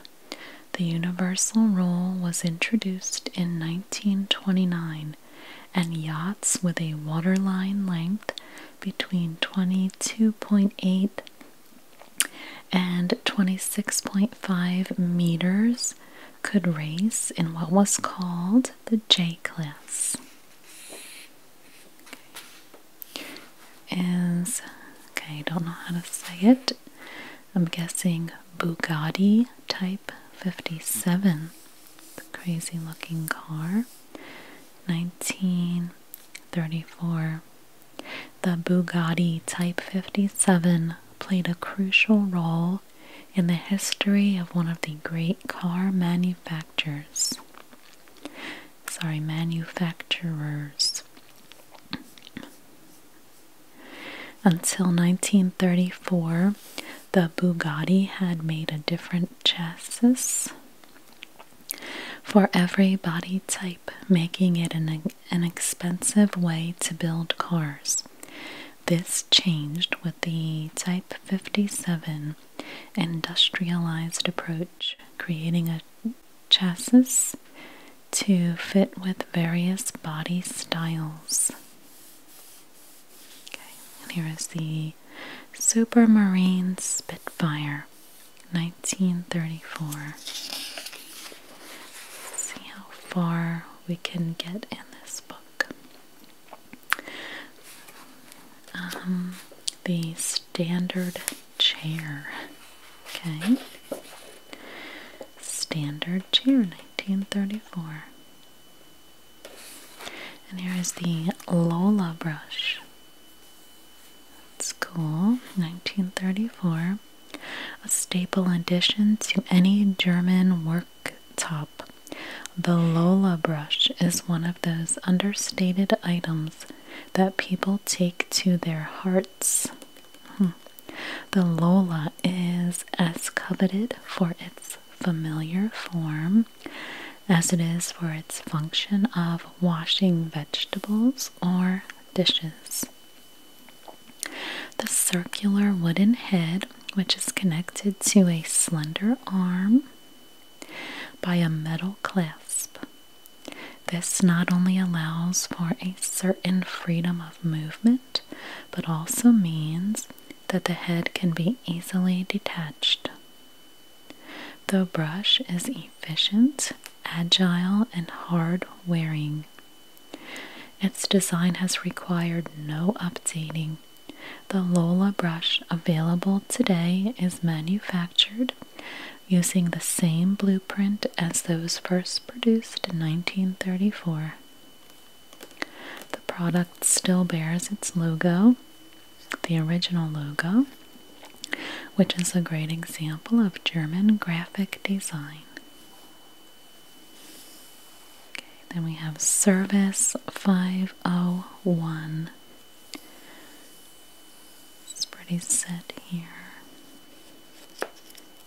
The universal rule was introduced in 1929, and yachts with a waterline length between 22.8 and 26.5 meters could race in what was called the J class. Is okay, I don't know how to say it. I'm guessing Bugatti Type 57, the crazy looking car, 1934. The Bugatti Type 57 played a crucial role in the history of one of the great car manufacturers. Sorry, manufacturers. Until 1934, the Bugatti had made a different chassis for every body type, making it an, an expensive way to build cars. This changed with the Type 57 industrialized approach, creating a chassis to fit with various body styles. Okay, and here is the Supermarine Spitfire 1934. see how far we can get in this book. Um, the standard chair. Okay. Standard chair, 1934. And here is the Lola brush. It's cool. 1934. A staple addition to any German work top. The Lola brush is one of those understated items that people take to their hearts. Hmm. The Lola is as coveted for its familiar form as it is for its function of washing vegetables or dishes. The circular wooden head which is connected to a slender arm by a metal clasp. This not only allows for a certain freedom of movement, but also means that the head can be easily detached. The brush is efficient, agile, and hard wearing. Its design has required no updating the Lola brush available today is manufactured using the same blueprint as those first produced in 1934. The product still bears its logo, the original logo, which is a great example of German graphic design. Okay, then we have Service 501. It's pretty set here.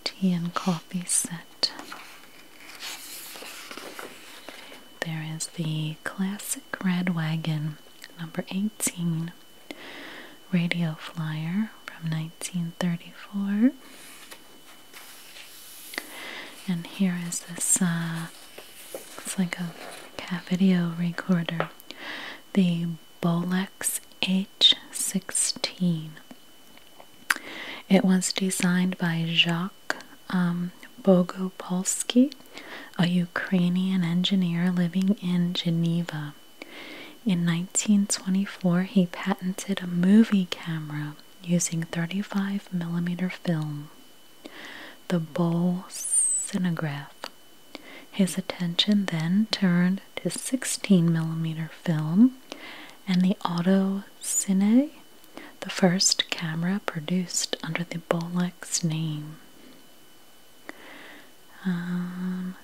Tea and coffee set. There is the classic red wagon, number 18, radio flyer from 1934. And here is this, uh, it's like a video recorder, the Bolex H16. It was designed by Jacques um, Bogopolsky, a Ukrainian engineer living in Geneva. In 1924, he patented a movie camera using 35 millimeter film the Bowl Cinograph. His attention then turned to 16 millimeter film and the Auto Cine, the first camera produced under the Bolex name. Um,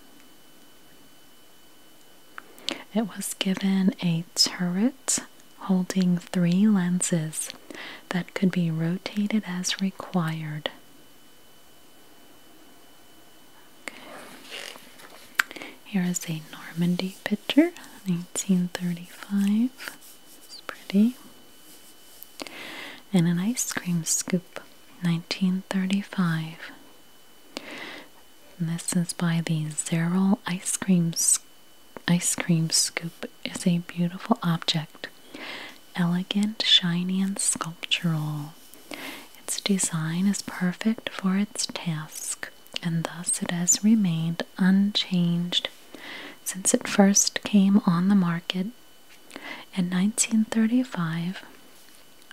it was given a turret holding three lenses that could be rotated as required. Here is a Normandy pitcher, 1935. It's pretty. And an ice cream scoop, 1935. this is by the Zerol Ice Cream Scoop ice cream scoop is a beautiful object, elegant, shiny, and sculptural. Its design is perfect for its task, and thus it has remained unchanged since it first came on the market in 1935.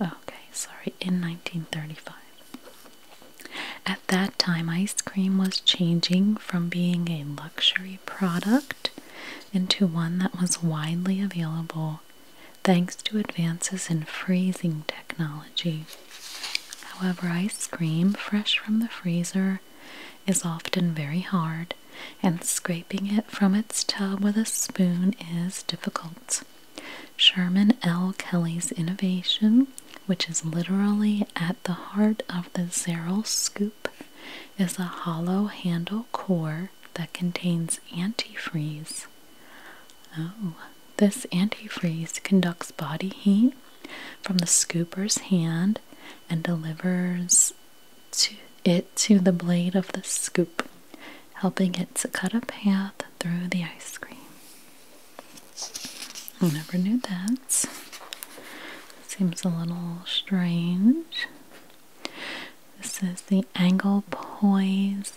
Okay, sorry, in 1935 that time, ice cream was changing from being a luxury product into one that was widely available thanks to advances in freezing technology. However, ice cream fresh from the freezer is often very hard, and scraping it from its tub with a spoon is difficult. Sherman L. Kelly's innovation which is literally at the heart of the Zeral scoop, is a hollow handle core that contains antifreeze. Oh, this antifreeze conducts body heat from the scooper's hand and delivers it to the blade of the scoop, helping it to cut a path through the ice cream. I never knew that. Seems a little strange. This is the Angle Poise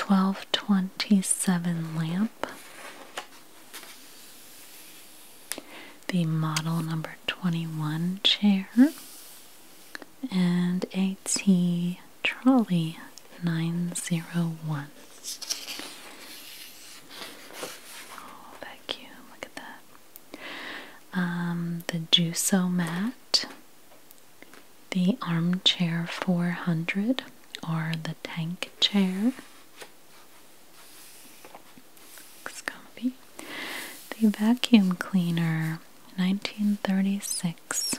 1227 lamp. The model number 21 chair. And a T trolley 901. Oh, vacuum, look at that. Um, the Juso mat, the Armchair 400, or the Tank Chair. Looks comfy. The Vacuum Cleaner, 1936.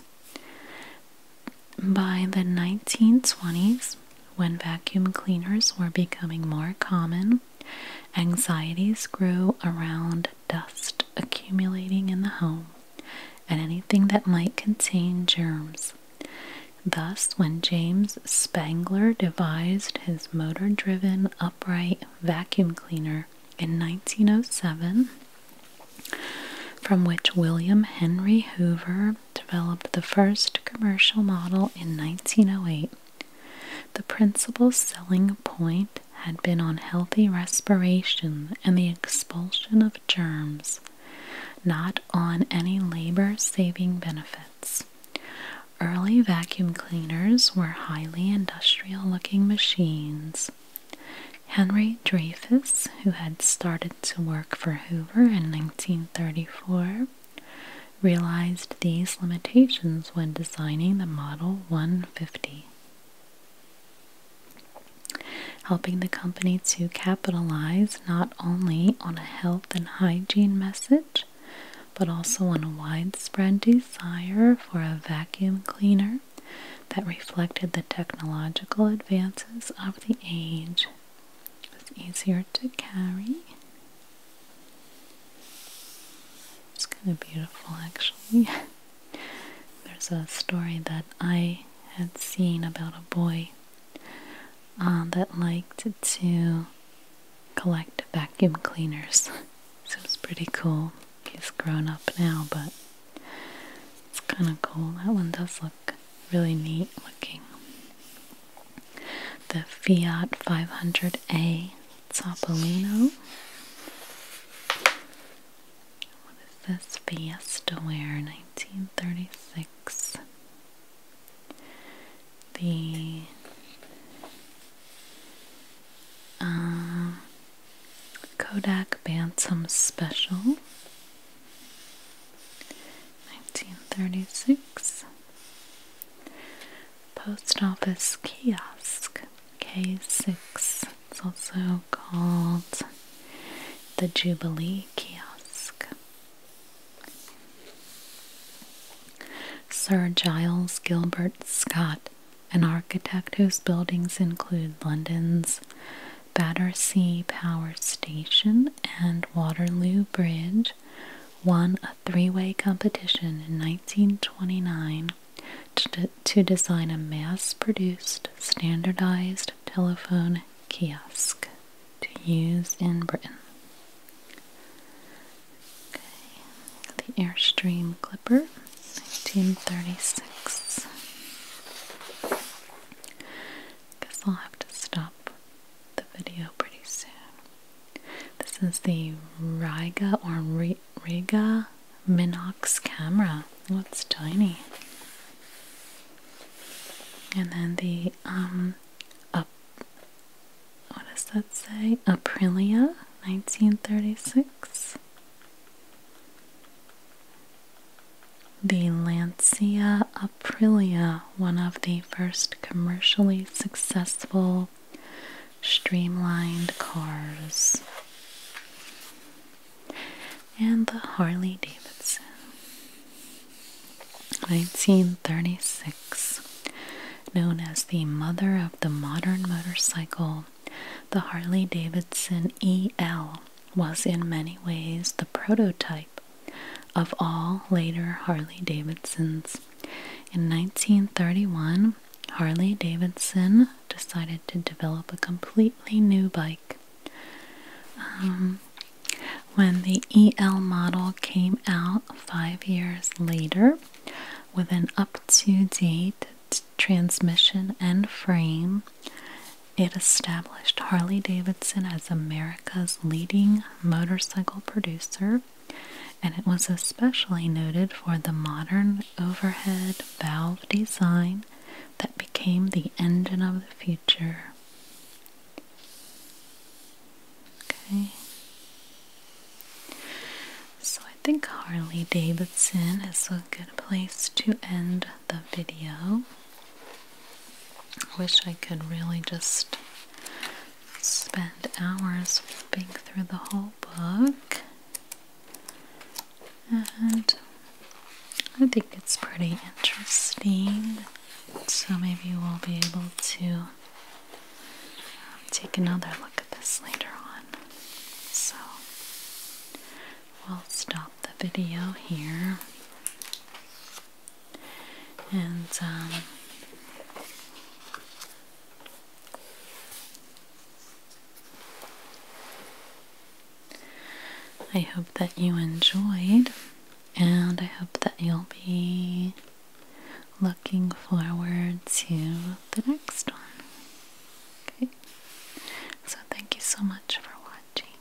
By the 1920s, when vacuum cleaners were becoming more common, anxieties grew around dust accumulating in the home and anything that might contain germs. Thus, when James Spangler devised his motor driven upright vacuum cleaner in 1907, from which William Henry Hoover developed the first commercial model in 1908. The principal selling point had been on healthy respiration and the expulsion of germs, not on any labor saving benefits. Early vacuum cleaners were highly industrial looking machines. Henry Dreyfus, who had started to work for Hoover in 1934, realized these limitations when designing the Model 150, helping the company to capitalize not only on a health and hygiene message, but also on a widespread desire for a vacuum cleaner that reflected the technological advances of the age. It's easier to carry. It's kind of beautiful actually. There's a story that I had seen about a boy uh, that liked to collect vacuum cleaners. so it's pretty cool. He's grown up now, but it's kind of cool. That one does look really neat looking the Fiat 500A Topolino. What is this? Fiesta Ware 1936. The uh, Kodak Bantam Special 1936. Post office kiosk K6. It's also called the Jubilee Kiosk. Sir Giles Gilbert Scott, an architect whose buildings include London's Battersea Power Station and Waterloo Bridge, won a three way competition in 1929 to, design a mass produced standardized telephone kiosk to use in Britain. Okay, the Airstream Clipper, 1936. Guess I'll have to stop the video pretty soon. This is the Riga or Riga Minox camera. What's oh, tiny. And then the um up what does that say? Aprilia 1936. The Lancia Prilia, one of the first commercially successful streamlined cars, and the Harley Davidson. 1936, known as the mother of the modern motorcycle, the Harley Davidson EL was in many ways the prototype of all later Harley Davidsons. In 1931, Harley Davidson decided to develop a completely new bike. Um, when the EL model came out five years later with an up to date transmission and frame, it established Harley Davidson as America's leading motorcycle producer, and it was especially noted for the modern overhead valve design that became the engine of the future. Okay. So I think Harley Davidson is a good place to end the video. I wish I could really just spend hours flipping through the whole book. And I think it's pretty interesting. So maybe we'll be able to um, take another look at this later on. So we'll stop the video here and um, I hope that you enjoyed, and I hope that you'll be looking forward to the next one. Okay, so thank you so much for watching.